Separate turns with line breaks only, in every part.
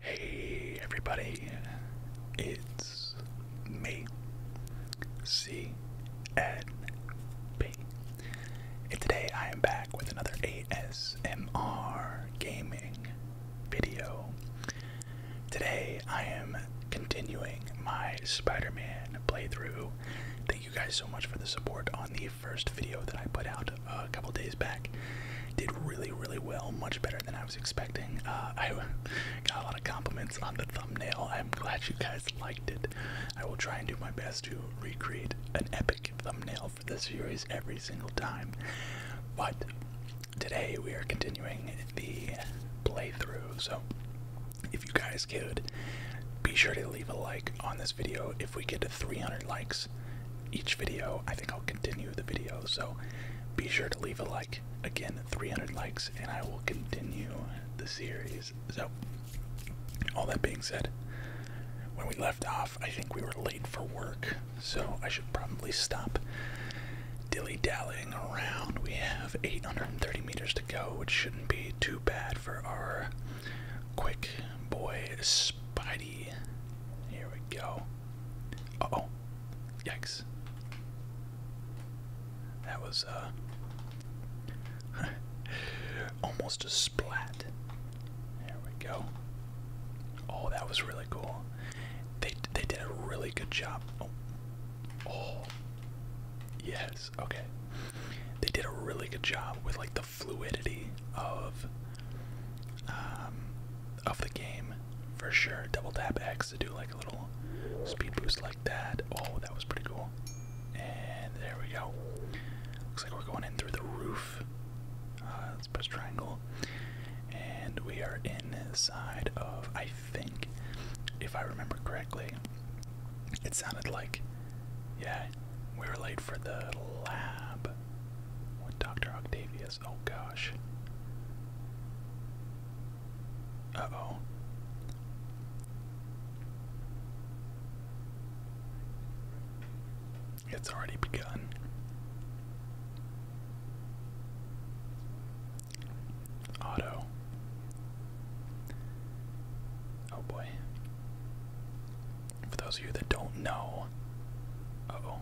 Hey everybody, it's me, C N B, and today I am back with another ASMR gaming video. Today I am continuing my Spider Man playthrough. Thank you guys so much for the support on the first video that I put out a couple days back did really, really well, much better than I was expecting. Uh, I got a lot of compliments on the thumbnail. I'm glad you guys liked it. I will try and do my best to recreate an epic thumbnail for this series every single time. But today we are continuing the playthrough, so if you guys could, be sure to leave a like on this video if we get 300 likes each video, I think I'll continue the video. So be sure to leave a like. Again, 300 likes, and I will continue the series. So, all that being said, when we left off, I think we were late for work, so I should probably stop dilly dallying around. We have 830 meters to go, which shouldn't be too bad for our quick boy Spidey. Here we go oh. Yikes. That was, uh. almost a splat. There we go. Oh, that was really cool. They, they did a really good job. Oh. Oh. Yes, okay. They did a really good job with, like, the fluidity of. Um, of the game for sure. Double tap X to do like a little speed boost like that. Oh, that was pretty cool. And there we go. Looks like we're going in through the roof. Uh, let's press triangle. And we are inside of, I think, if I remember correctly, it sounded like, yeah, we were late for the lab. With Dr. Octavius Oh gosh. oh. It's already begun. Auto. Oh boy. For those of you that don't know, uh oh.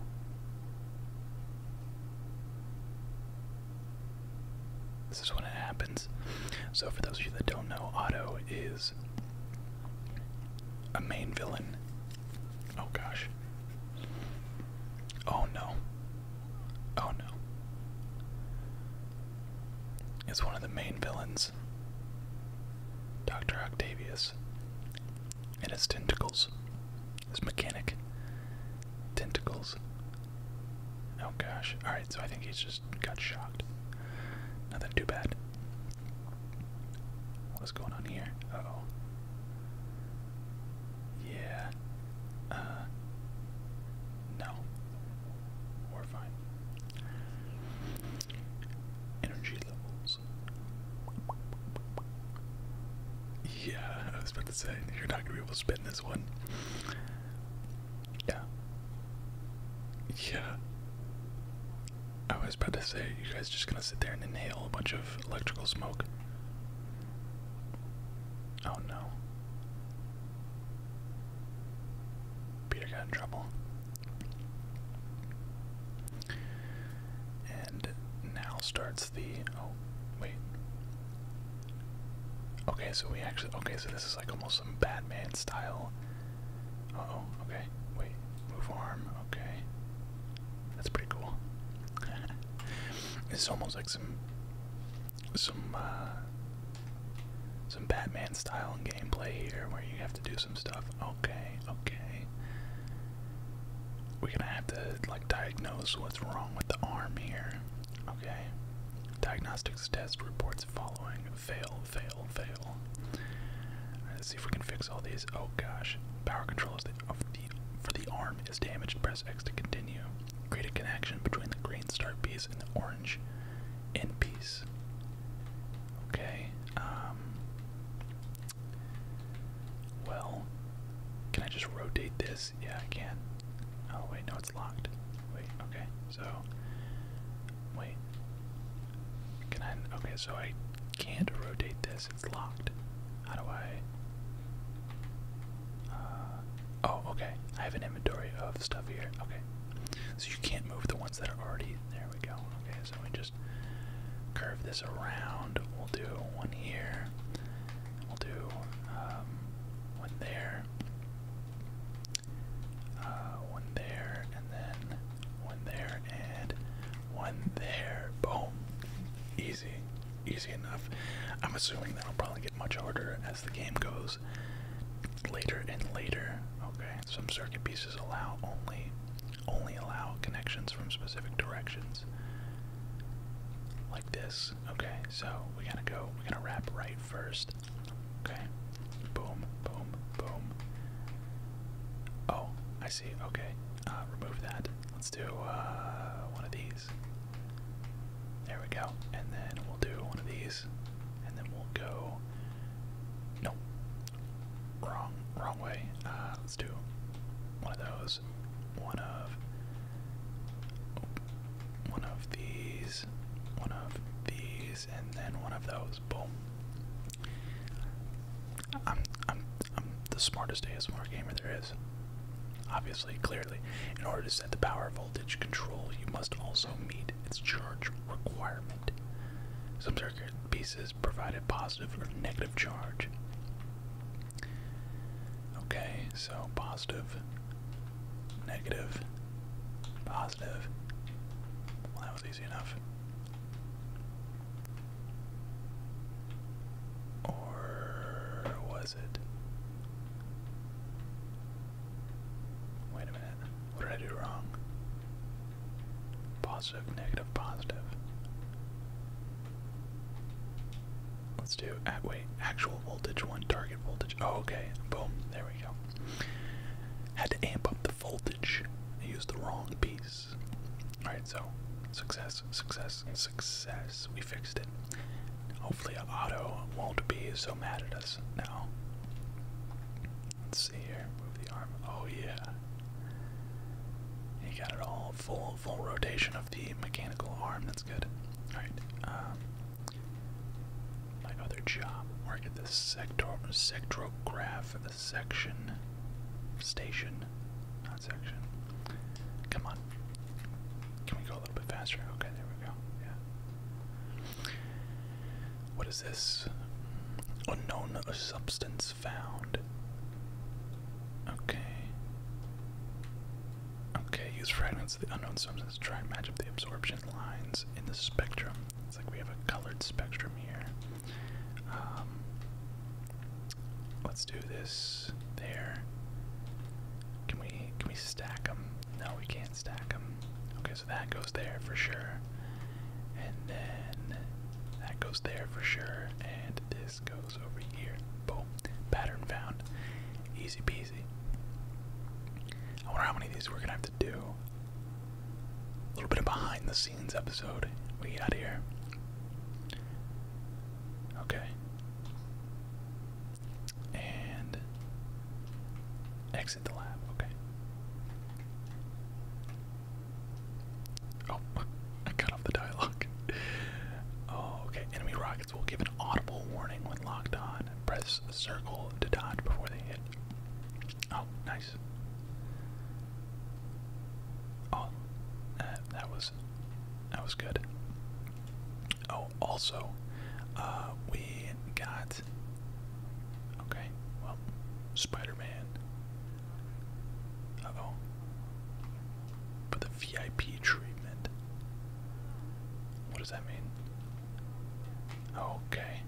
This is when it happens. So, for those of you that don't know, Otto is a main villain. Oh gosh. Oh no. Oh no. Is one of the main villains. Dr. Octavius and his tentacles. His mechanic. Tentacles. Oh gosh. Alright, so I think he's just got shocked. Nothing too bad. What's going on here? oh. Yeah. Uh, no. We're fine. Energy levels. Yeah, I was about to say, you're not gonna be able to spin this one. Yeah. Yeah. I was about to say, you guys just gonna sit there and inhale a bunch of electrical smoke. Oh no. Peter got in trouble. And now starts the oh wait. Okay, so we actually okay, so this is like almost some Batman style. Uh oh, okay. Wait, move arm, okay. That's pretty cool. it's almost like some some uh some Batman style and gameplay here where you have to do Okay, okay. We're gonna have to like diagnose what's wrong with the arm here. Okay. Diagnostics test reports following. Fail, fail, fail. Let's see if we can fix all these. Oh gosh. Power control is for the arm is damaged. Press X to continue. Create a connection between the green star piece and the orange end piece. Okay. Um, well, can I just rotate this? Yeah, I can. Oh, wait, no, it's locked. Wait, okay, so. Wait. Can I. Okay, so I can't rotate this, it's locked. How do I. Uh, oh, okay, I have an inventory of stuff here. Okay. So you can't move the ones that are already. There we go. Okay is, and we just curve this around. We'll do one here. We'll do um, one there, uh, one there, and then one there, and one there. Boom. Easy. Easy enough. I'm assuming that'll probably get much harder as the game goes later and later. Okay, some circuit pieces allow only only allow connections from specific directions. Like this. Okay, so we gotta go, we gotta wrap right first. Okay. Boom, boom, boom. Oh, I see. Okay. Uh, remove that. Let's do uh, one of these. There we go. And then we'll do one of these. And then we'll go. No. Wrong, wrong way. Uh, let's do one of those. One of. One of these. One of these, and then one of those. Boom. I'm, I'm, I'm the smartest ASMR gamer there is. Obviously, clearly. In order to set the power voltage control, you must also meet its charge requirement. Some circuit pieces provided positive or negative charge. Okay, so positive, negative, positive. Well, that was easy enough. Or was it? Wait a minute. What did I do wrong? Positive, negative, positive. Let's do at wait, actual voltage one, target voltage. Oh, okay, boom, there we go. Had to amp up the voltage. I used the wrong piece. Alright, so success, success, success. We fixed it. Hopefully, Otto won't be so mad at us now. Let's see here. Move the arm. Oh yeah. You got it all. Full full rotation of the mechanical arm. That's good. All right. Um, my other job. Work at the sector The section. Station. Not section. Come on. Can we go a little bit faster? Okay. There we go. Yeah. What is this? Unknown substance found. Okay. Okay, use fragments of the unknown substance to try and match up the absorption lines in the spectrum. It's like we have a colored spectrum here. Um, let's do this there. Can we can we stack them? No, we can't stack them. Okay, so that goes there for sure. And then that goes there for sure. And this goes over here. Boom. Pattern found. Easy peasy. I wonder how many of these we're going to have to do. A little bit of behind the scenes episode. What do you got here? Okay. And exit the lab. Okay. Oh, I cut off the dialogue. Oh, okay. Enemy rockets will give an audible warning when locked on. Press circle to dodge before they hit. Oh, nice. Oh, that was that was good. Oh, also, uh, we got. Okay, well, Spider-Man oh. For the VIP treatment. What does that mean? Okay.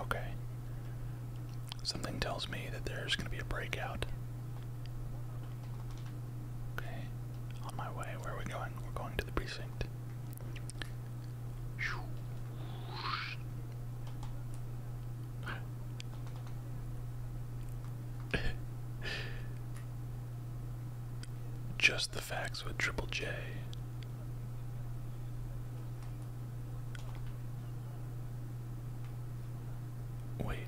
Okay. Something tells me that there's going to be a breakout. Okay. On my way. Where are we going? We're going to the precinct. Just the facts with Triple J. Wait.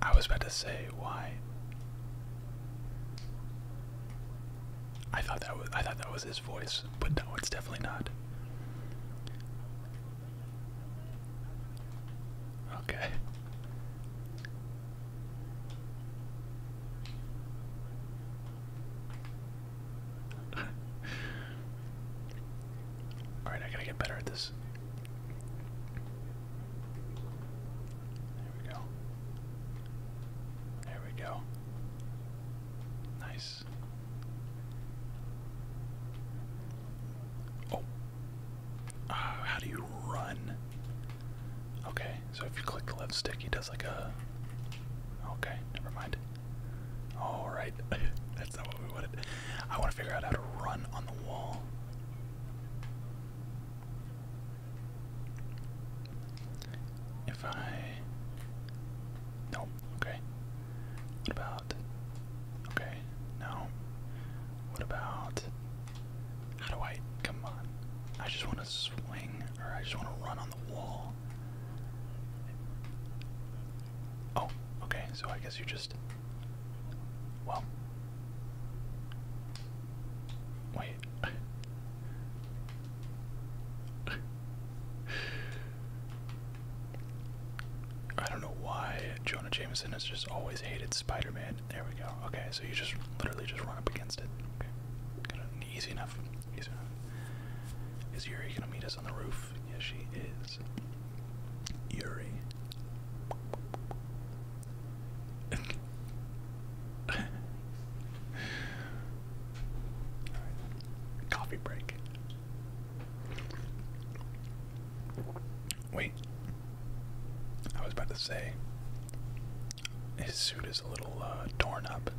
I was about to say, why? I thought that was I thought that was his voice, but no, it's definitely not. Okay. All right, I gotta get better at this. There we go. There we go. Nice. Oh. Ah, how do you run? Okay, so if you click the left stick, he does like a. Okay, never mind. Alright, that's not what we wanted. I want to figure out how to run on the wall. If I nope, okay. What about okay, no. What about how do I come on? I just wanna swing or I just wanna run on the wall. Oh, okay, so I guess you just well Wait. I don't know why Jonah Jameson has just always hated Spider-Man. There we go. Okay, so you just literally just run up against it. Okay, easy enough. Easy enough. Is Yuri gonna meet us on the roof? Yes, she is. Yuri. Coffee break. Wait. I was about to say his suit is a little uh, torn up.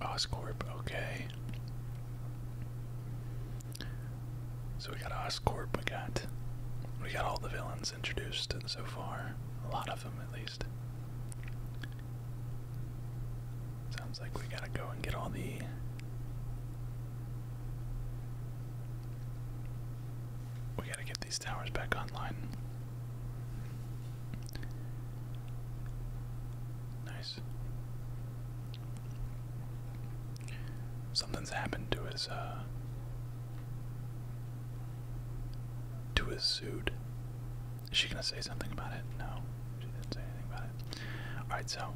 Oscorp, okay. So we got Oscorp, we got we got all the villains has introduced so far. A lot of them, at least. Sounds like we gotta go and get all the. We gotta get these towers back online. Nice. Something's happened to his, uh, to a suit. Is she gonna say something about it? No, she didn't say anything about it. Alright, so.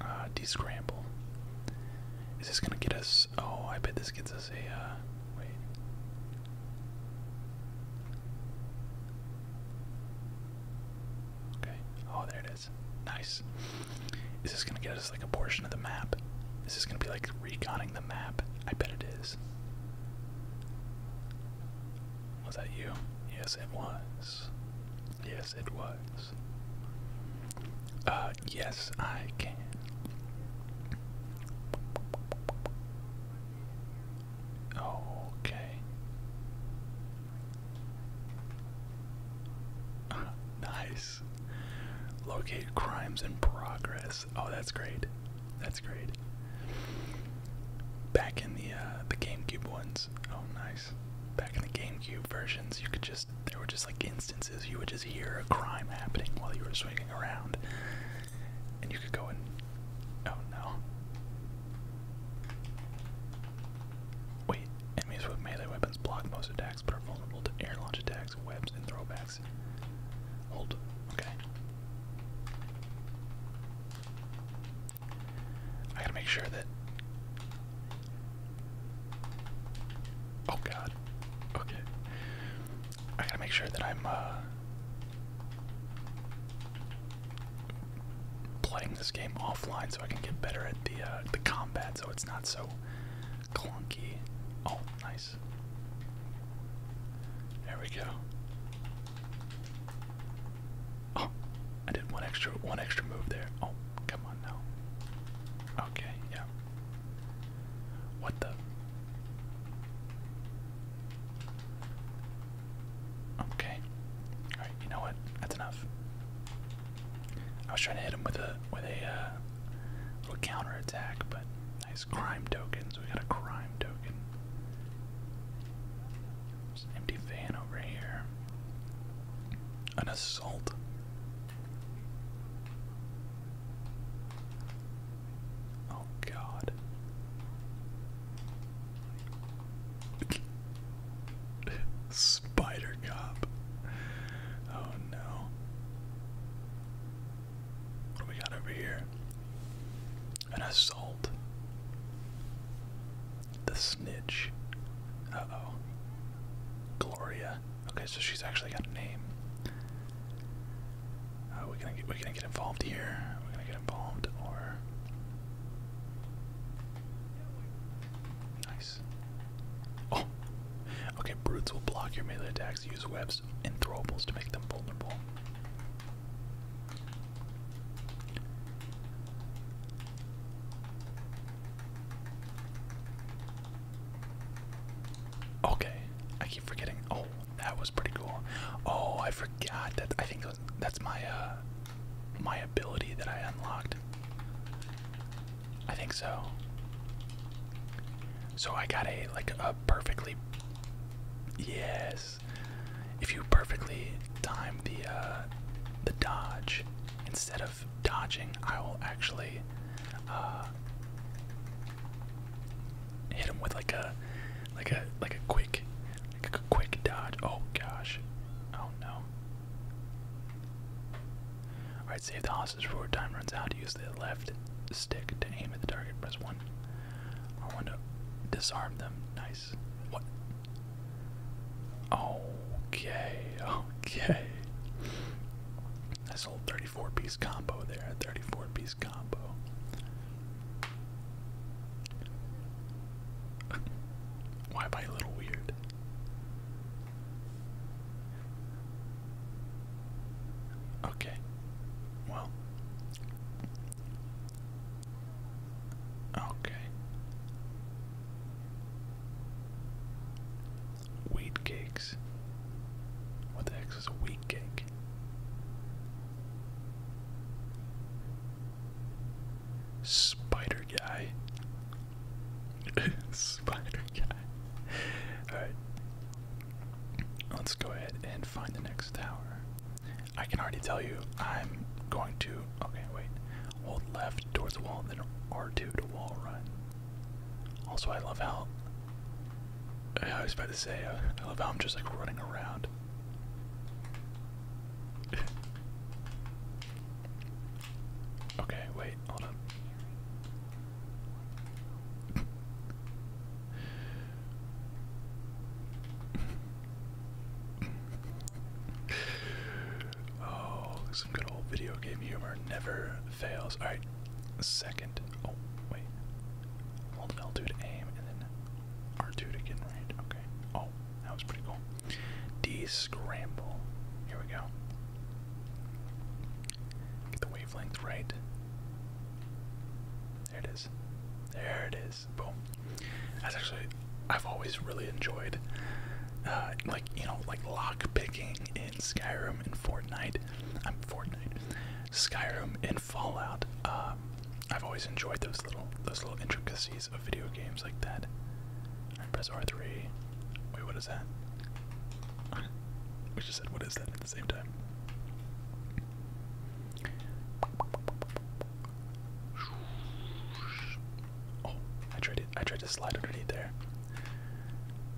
Uh, descramble. Is this gonna get us. Oh, I bet this gets us a. Uh, wait. Okay. Oh, there it is. Nice. Is this gonna get us like a portion of the map? Is this gonna be like reconning the map? I bet it is. Was that you? Yes, it was. Yes, it was. Uh, yes, I can. Okay. nice. Locate crimes in progress. Oh, that's great. That's great. Back in the uh, the GameCube ones. Oh, nice. Back in the GameCube versions, you could just there were just like instances you would just hear a crime happening while you were swinging around, and you could go and oh no. Wait, enemies with melee weapons block most attacks but are vulnerable to air launch attacks webs, and throwbacks. Hold. Okay. I gotta make sure that. Oh god. Okay. I gotta make sure that I'm uh, playing this game offline so I can get better at the uh, the combat, so it's not so clunky. Oh, nice. There we go. Oh, I did one extra one extra move there. Oh, come on now. Okay, yeah. What the? Okay. All right, you know what? That's enough. I was trying to hit him with a with a uh, little counter attack, but nice crime tokens. We got a crime token. an empty van over here. An assault. Oh God. Spider cop. Oh no. What do we got over here? An assault. The snitch. Uh oh. Gloria. Okay, so she's actually got a name. Uh, we're gonna get we gonna get involved here. We're gonna get involved, or Oh. Okay, brutes will block your melee attacks, use webs and throwables to make them vulnerable. Okay, I keep forgetting. Oh, that was pretty cool. Oh, I forgot that. I think that's my uh, my ability that I unlocked. I think so. So I got a like a perfectly yes. If you perfectly time the uh, the dodge instead of dodging, I will actually uh, hit him with like a like a like a quick like a quick dodge. Oh gosh. Oh no. Alright, save the Moss's forward time runs out. Use the left stick to aim at the target. Press 1. I want to disarm them. Nice. What? Okay, okay. That's a 34 piece combo there. 34 piece combo. Why am I a little weird? Okay. Well. Okay. Wheat cakes. What the heck is a wheat cake? Spider guy. Spider guy. Alright. Let's go ahead and find the next tower. I can already tell you I'm going to. Okay, wait. Hold left towards the wall, then R2 to wall run. Also, I love how. I was about to say, uh, I love how I'm just like running around. okay, wait, hold on oh, some good old video game humor never fails. Alright, second. Oh, wait. Hold l to aim and then R2 to get range. Okay. Oh, that was pretty cool. D scramble. Here we go. Get the wavelength right. There it is. There it is. Boom. That's actually I've always really enjoyed uh, like you know like lock picking in Skyrim and Fortnite. I'm Fortnite. Skyrim and Fallout. Um, I've always enjoyed those little those little intricacies of video games like that press R3. Wait, what is that? we just said what is that at the same time. Oh, I tried I tried to slide underneath there.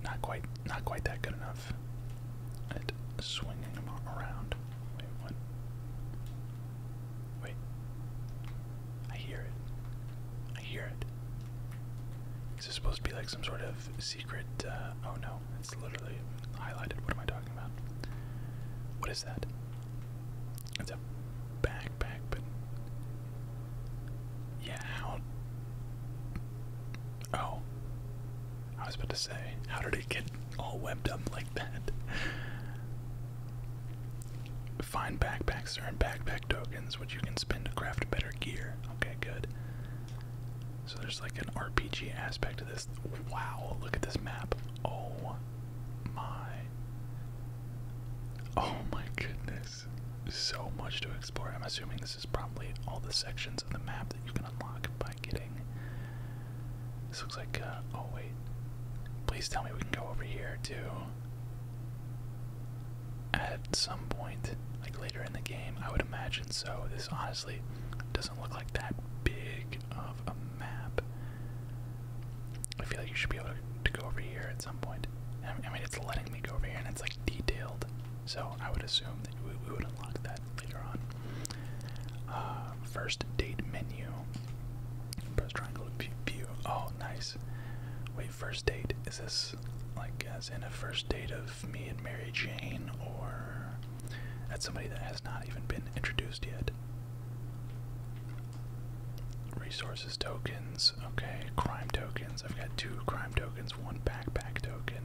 Not quite not quite that good enough. At swinging around. Wait, Wait. I hear it. I hear it. Is this supposed to be like some sort of secret? Uh, oh no, it's literally highlighted. What am I talking about? What is that? It's a backpack, but. Yeah, how. Oh. I was about to say, how did it get all webbed up like that? Find backpacks earn backpack tokens, which you can spend to craft better gear. Okay, good. So there's like an RPG aspect to this. Wow, look at this map. Oh my. Oh my goodness. So much to explore. I'm assuming this is probably all the sections of the map that you can unlock by getting. This looks like, uh, oh wait. Please tell me we can go over here too at some point, like later in the game. I would imagine so. This honestly doesn't look like that big of a map. I feel like you should be able to go over here at some point. I mean, it's letting me go over here and it's like detailed, so I would assume that we, would unlock that later on. Uh, first date menu. Press triangle to view. Oh, nice. Wait, first date. Is this like as in a first date of me and Mary Jane, or at somebody that has not even been introduced yet. Resources tokens, okay, crime tokens. I've got two crime tokens, one backpack token.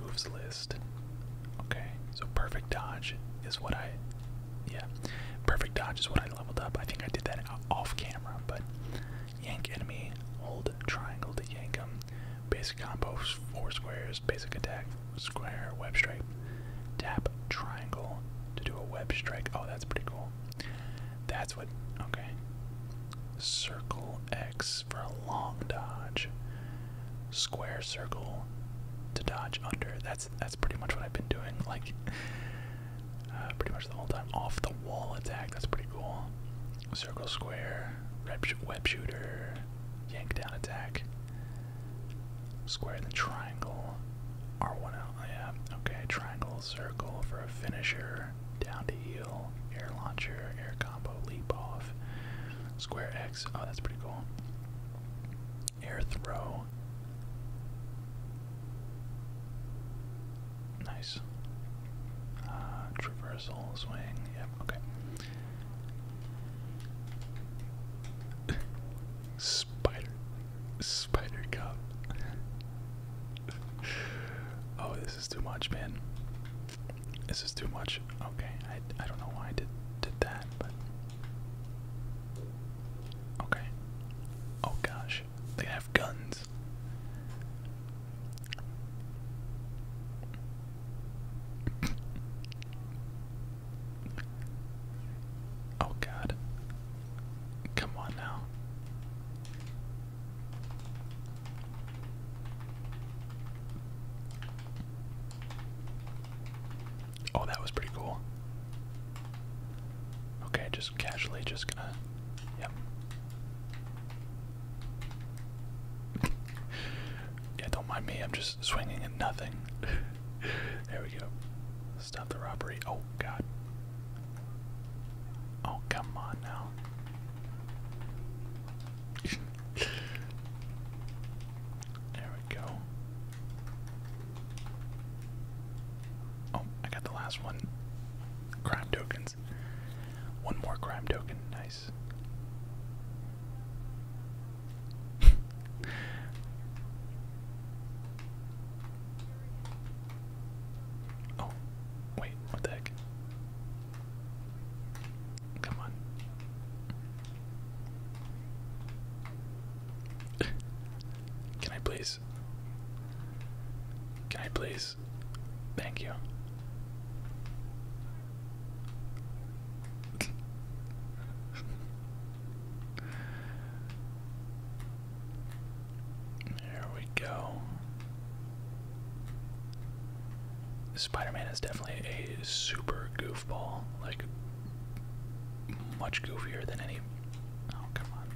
Moves list. Okay, so perfect dodge is what I. Yeah, perfect dodge is what I leveled up. I think I did that off camera, but Yank enemy, hold triangle to yank him. Basic combo, four squares, basic attack, square, web strike. Tap triangle to do a web strike. Oh, that's pretty cool. That's what, okay. Circle X for a long dodge. Square circle to dodge under. That's that's pretty much what I've been doing. Like uh, pretty much the whole time. Off the wall attack, that's pretty cool. Circle square, web shooter, yank down attack, square then triangle, R1 out, oh, yeah, okay, triangle, circle for a finisher, down to heel, air launcher, air combo, leap off, square X, oh that's pretty cool. Air throw. Nice. Uh, traversal swing. Yep. Okay. Spider. Spider cup. oh, this is too much, man. This is too much. Okay. I I don't know why I did did that, but. Okay. Oh gosh, they have guns oh god. Come on now. Oh, that was pretty cool. Okay, just casually just gonna. Yep. yeah, don't mind me. I'm just swinging at nothing. there we go. Stop the robbery. Oh, God. Oh, come on now. there we go. Oh, I got the last one. Crime tokens. One more crime token. Nice. oh, wait, what the heck? Come on. Can I please? Can I please? Thank you. There we go. Spider Man is definitely a super goofball, like, much goofier than any. Oh, come on.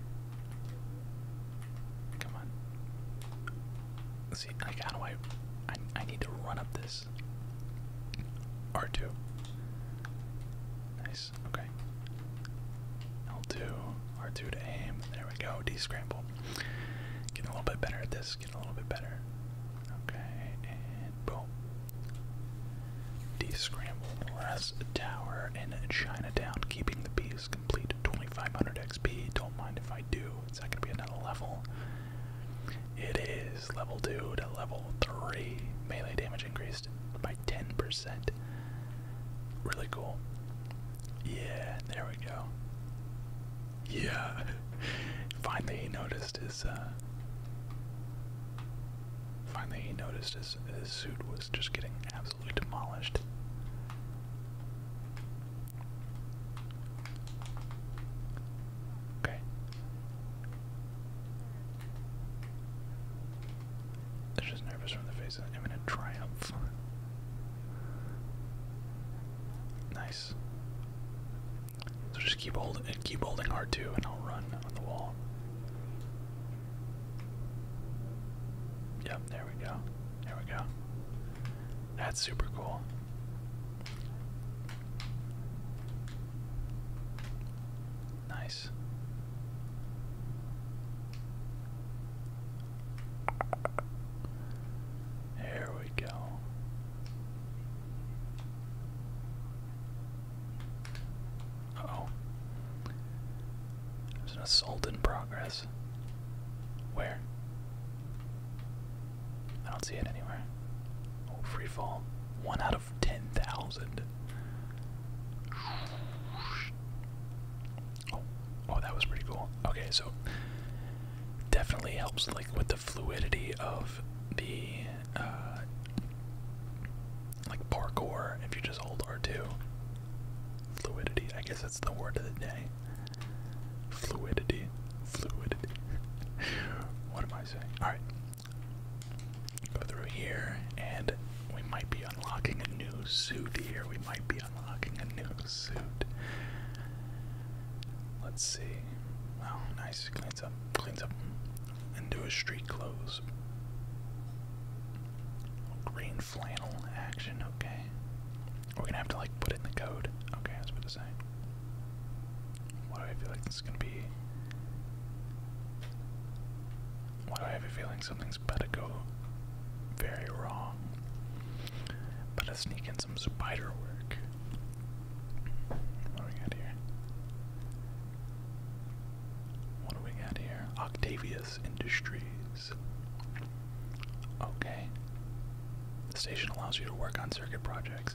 Come on. Let's see, like, how do I, I. I need to run up this. R2. Nice, okay. L2, R2 to aim. There we go, D scramble. Getting a little bit better at this, getting a little bit better. Okay, and boom. D scramble, less tower in Chinatown, keeping the peace, complete 2500 XP. Don't mind if I do. It's not going to be another level. It is level 2 to level 3. Melee damage increased by 10%. Really cool. Yeah, there we go. Yeah. Finally he noticed his uh, Finally he noticed his his suit was just getting absolutely absolutely demolished. Okay. They're just nervous from the face of imminent triumph. Nice. So just keep holding, keep holding R2, and I'll run on the wall. Yep, there we go. There we go. That's super cool. Nice. There we go oh. There's an assault in progress. Where? I don't see it anywhere. Oh, free fall. One out of 10,000. Oh, oh, that was pretty cool. Okay, so definitely helps like with the fluidity of the uh, like parkour if you just hold R2. Fluidity, I guess that's the word of the day. Fluidity, fluidity. what am I saying? Alright. Go through here, and we might be unlocking a new suit here. We might be unlocking a new suit. Let's see. Wow, nice. Cleans up, cleans up, and do a street close. Green flannel action, okay. We're gonna have to like put it in the code. Okay, that's what to say. What do I feel like this is gonna be? Why do I have a feeling something's about to go very wrong? But I sneak in some spider work. What do we got here? What do we got here? Octavius Industries. Okay. The station allows you to work on circuit projects.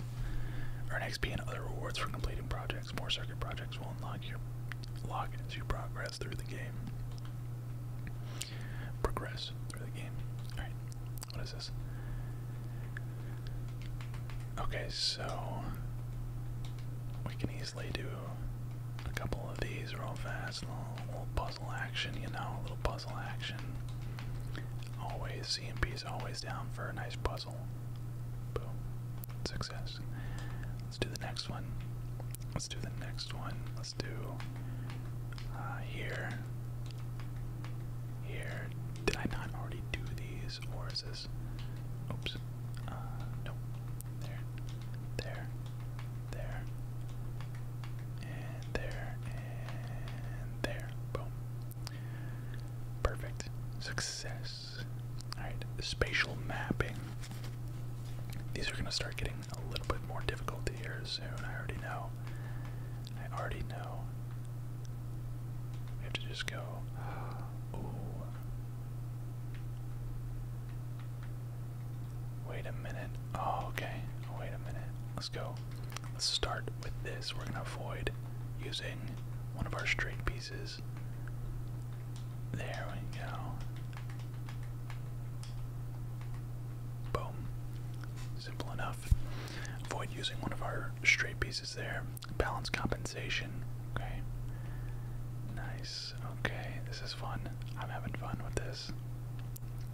Earn XP and other rewards for completing projects. More circuit projects will unlock your as you progress through the game. Progress through the game. Alright. What is this? Okay, so we can easily obviously do a couple of these real fast, little, little puzzle action, you know, a little puzzle action. Always, EMP's always down for a nice puzzle. Boom. Success. Let's do the next one. Let's do the next one. Let's do uh, here. Here. Did I not already do these? Or is this. Oops. Uh, nope there, there, there, and there, and there. Boom. Perfect. Success. Alright, spatial mapping. These are going to start getting a little bit more difficult here soon. I already know. I already know. We have to just go. Wait a minute. Oh, okay. wait a minute. Let's go. Let's start with this. We're gonna avoid using one of our straight pieces. There we go. Boom. Simple enough. Avoid using one of our straight pieces there. Balance compensation. Okay. Nice. Okay, this is fun. I'm having fun with this.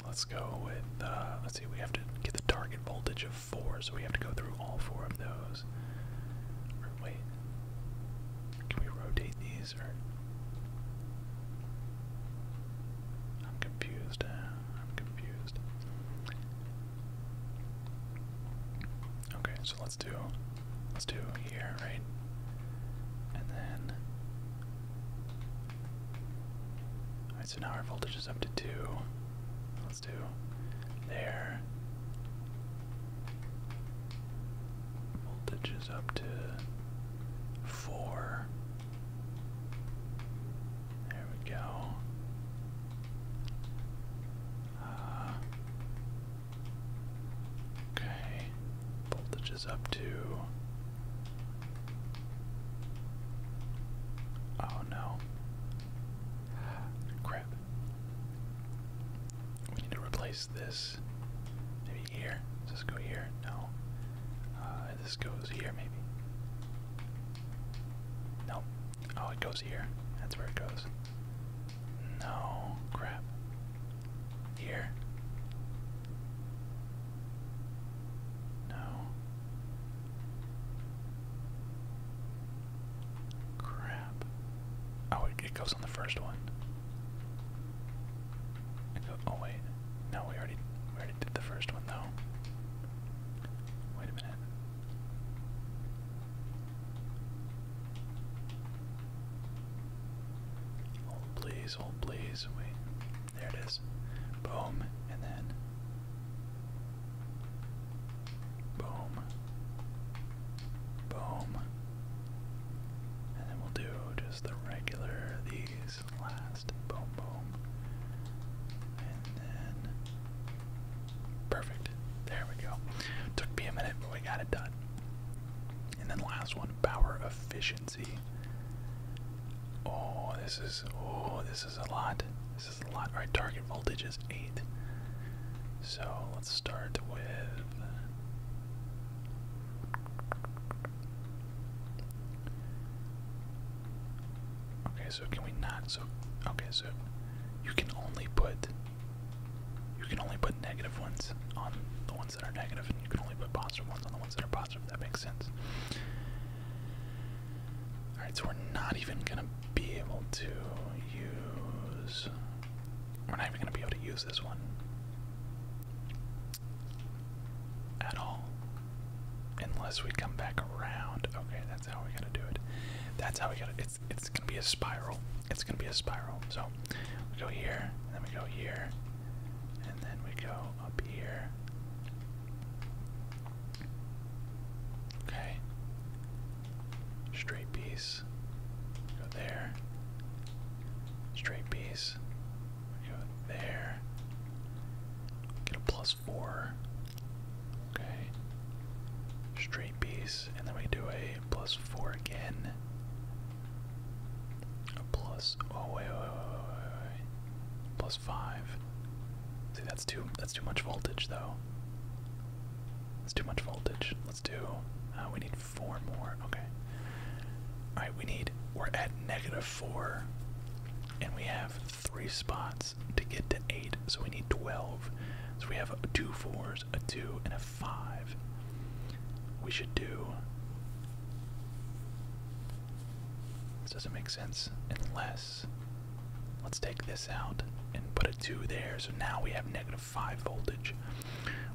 Let's go with, uh, let's see, we have to get the target voltage of 4, so we have to go through all four of those. wait, can we rotate these, I'm confused, uh, I'm confused. Okay, so let's do Let's do here, right? And then. Alright, so now our voltage is up to 2. Let's do there. Voltage is up to 4. There we go. Uh, Okay. Voltage is up to. Oh no. Crap. We need to replace this. Maybe here. Does this go here? No. Uh, this goes here, maybe. No. Oh, it goes here. That's where it goes. No. Crap. Here. No. Crap. Oh, it, goes on the first one. oh wait, no, we already we already did the first one though. Wait a minute. Hold please, hold please. We there it is. Boom, and then boom, boom, and then we'll do just the regular these last boom, boom, and then perfect. There we go. Took me a minute, but we got it done. And then last one, power efficiency. Oh, this is oh, this is a lot. This is a lot. Our target voltage is eight. So let's start with. Okay, so can we not? So okay, so you can only put you can only put negative ones on the one that are negative, and you can only put positive ones on the ones that are positive. That makes sense. Alright, so we're not even gonna be able to use. We're not even gonna be able to use this one at all. Unless we come back around. Okay, that's how we are going to do it. That's how we gotta it's it's gonna be a spiral. It's gonna be a spiral. So we go here, then we go here, and then we go up here. Okay. Straight piece. Go there. Straight piece. go there. Get a plus four. Okay. Straight piece. And then we do a plus four again plus. Oh wait, Plus five. See, that's too. That's too much voltage, though. That's too much voltage. Let's do. Uh, we need four more. Okay. All right. We need. We're at negative four, and we have three spots to get to eight. So we need twelve. So we have two fours a 2 and a 5. We should do. This doesn't make sense unless. Let's take this out and put a 2 there. So now we have negative 5 voltage.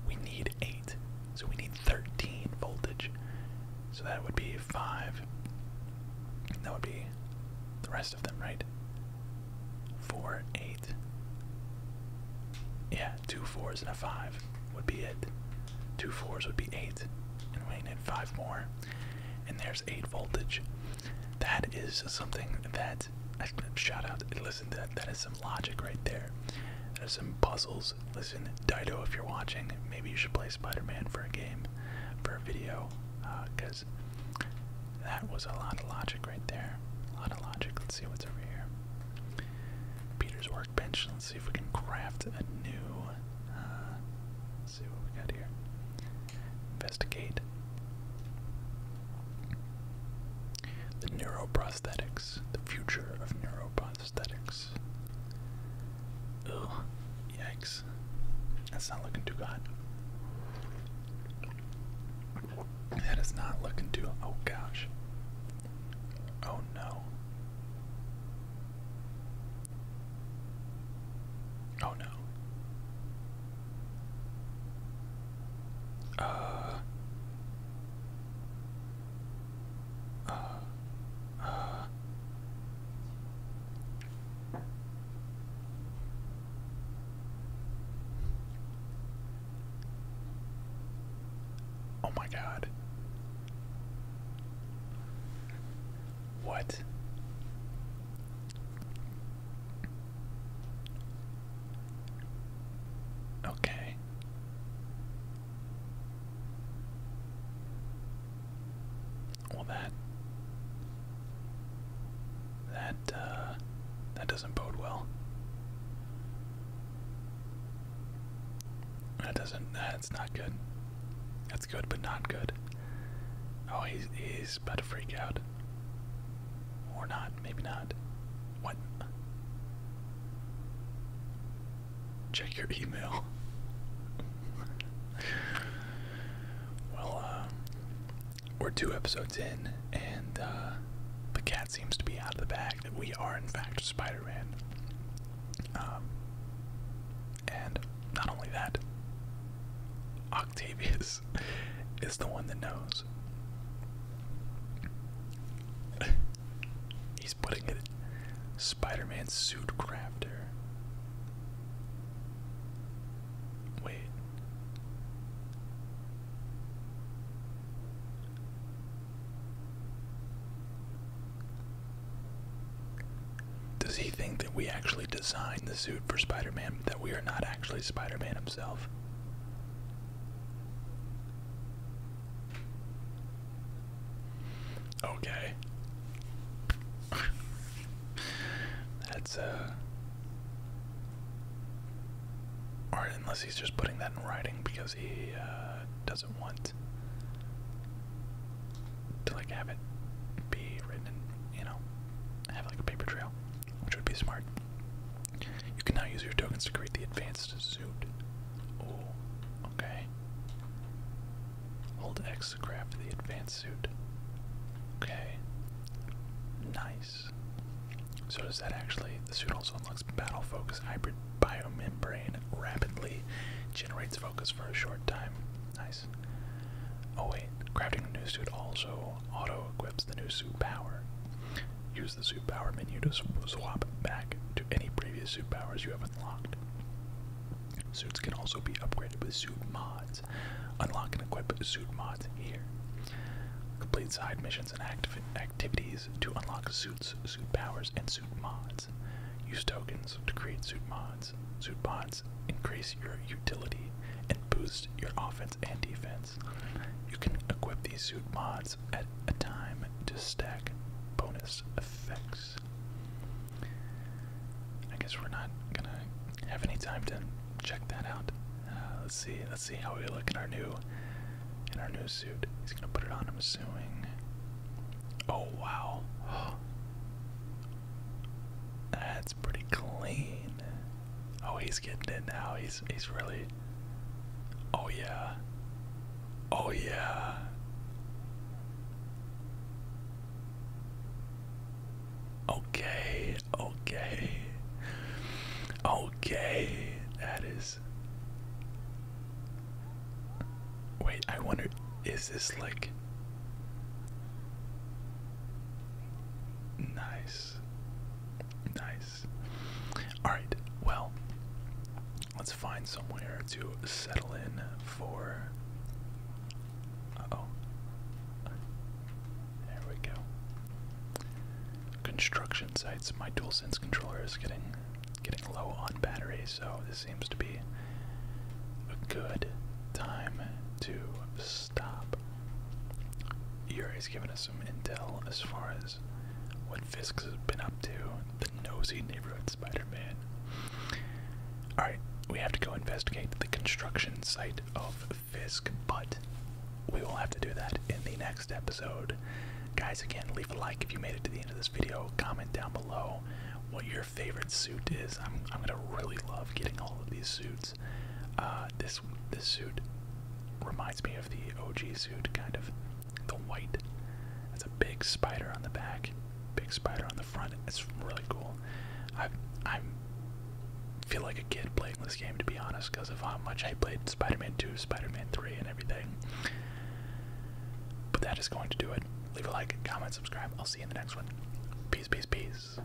We need 8. So we need 13 voltage. So that would be 5. That would be the rest of them, right? 4, 8. Yeah, two fours and a five would be it. Two fours would be eight, and we need five more. And there's eight voltage. That is something that I shout out. Listen, that that is some logic right there. There's some puzzles. Listen, Dido, if you're watching, maybe you should play Spider-Man for a game, for a video, because uh, that was a lot of logic right there. A lot of logic. Let's see what's over here. Peter's workbench. Let's see if we can craft a new. Uh, let's see what we got here. Investigate. The neuroprosthetics. The future of neuroprosthetics. Ugh. Yikes. That's not looking too good. That is not looking too. Oh gosh. Oh no. Oh no. Uh. Uh. Uh. Oh my god. What? Okay. Well, that that uh, that doesn't bode well. That doesn't. That's not good. That's good, but not good. Oh, he's he's about to freak out. Or not. Maybe not. What? Check your email. well, uh, we're two episodes in, and uh, the cat seems to be out of the bag that we are, in fact, Spider Man. Um, and not only that, Octavius is the one that knows. He's putting it Spider Man suit crafter. Wait. Does he think that we actually designed the suit for Spider Man, that we are not actually Spider Man himself? Okay. That's, uh. Or unless he's just putting that in writing because he uh, doesn't want to like have it be written you know, have like a paper trail, which would be smart. You can now use your tokens to create the advanced suit. Oh, okay. Hold X to craft the advanced suit. Okay. Nice. So does that actually, the suit also unlocks battle focus hybrid biomembrane rapidly, generates focus for a short time. Nice. Oh wait, crafting a new suit also auto-equips the new suit power. Use the suit power menu to swap back to any previous suit powers you have unlocked. Suits can also be upgraded with suit mods. Unlock and equip suit mods here. Complete side missions and activ activities to unlock suits, suit powers, and suit mods. Use tokens to create suit mods. Suit mods increase your utility and boost your offense and defense. You can equip these suit mods at a time to stack bonus effects. I guess we're not gonna have any time to check that out. Uh, let's see. Let's see how we look in our new in our new suit. He's gonna put it on. I'm assuming. Oh wow. That's pretty clean. Oh, he's getting it now. He's he's really. Oh yeah. Oh yeah. Okay, okay. Oh, Okay, that is. Wait, I wonder, is this like. Nice. Nice. Alright, well, let's find somewhere to settle in for. Uh oh. There we go. Construction sites. My sense controller is getting getting low on battery, so this seems to be a good time to stop. Yuri's given us some intel as far as what Fisk has been up to. The nosy neighborhood Spider-Man. Alright, we have to go investigate the construction site of Fisk, but we will have to do that in the next episode. Guys, again, leave a like if you made it to the end of this video. Comment down below what your favorite suit is. I'm, I'm gonna really love getting all of these suits. Uh, this this suit reminds me of the OG suit, kind of the white. That's a big spider on the back, big spider on the front. It's really cool. I I feel like a kid playing this game to be honest because of how much I played Spider-Man 2, Spider-Man 3 and everything. But that is going to do it. Leave a like, comment, subscribe. I'll see you in the next one. Peace, peace, peace.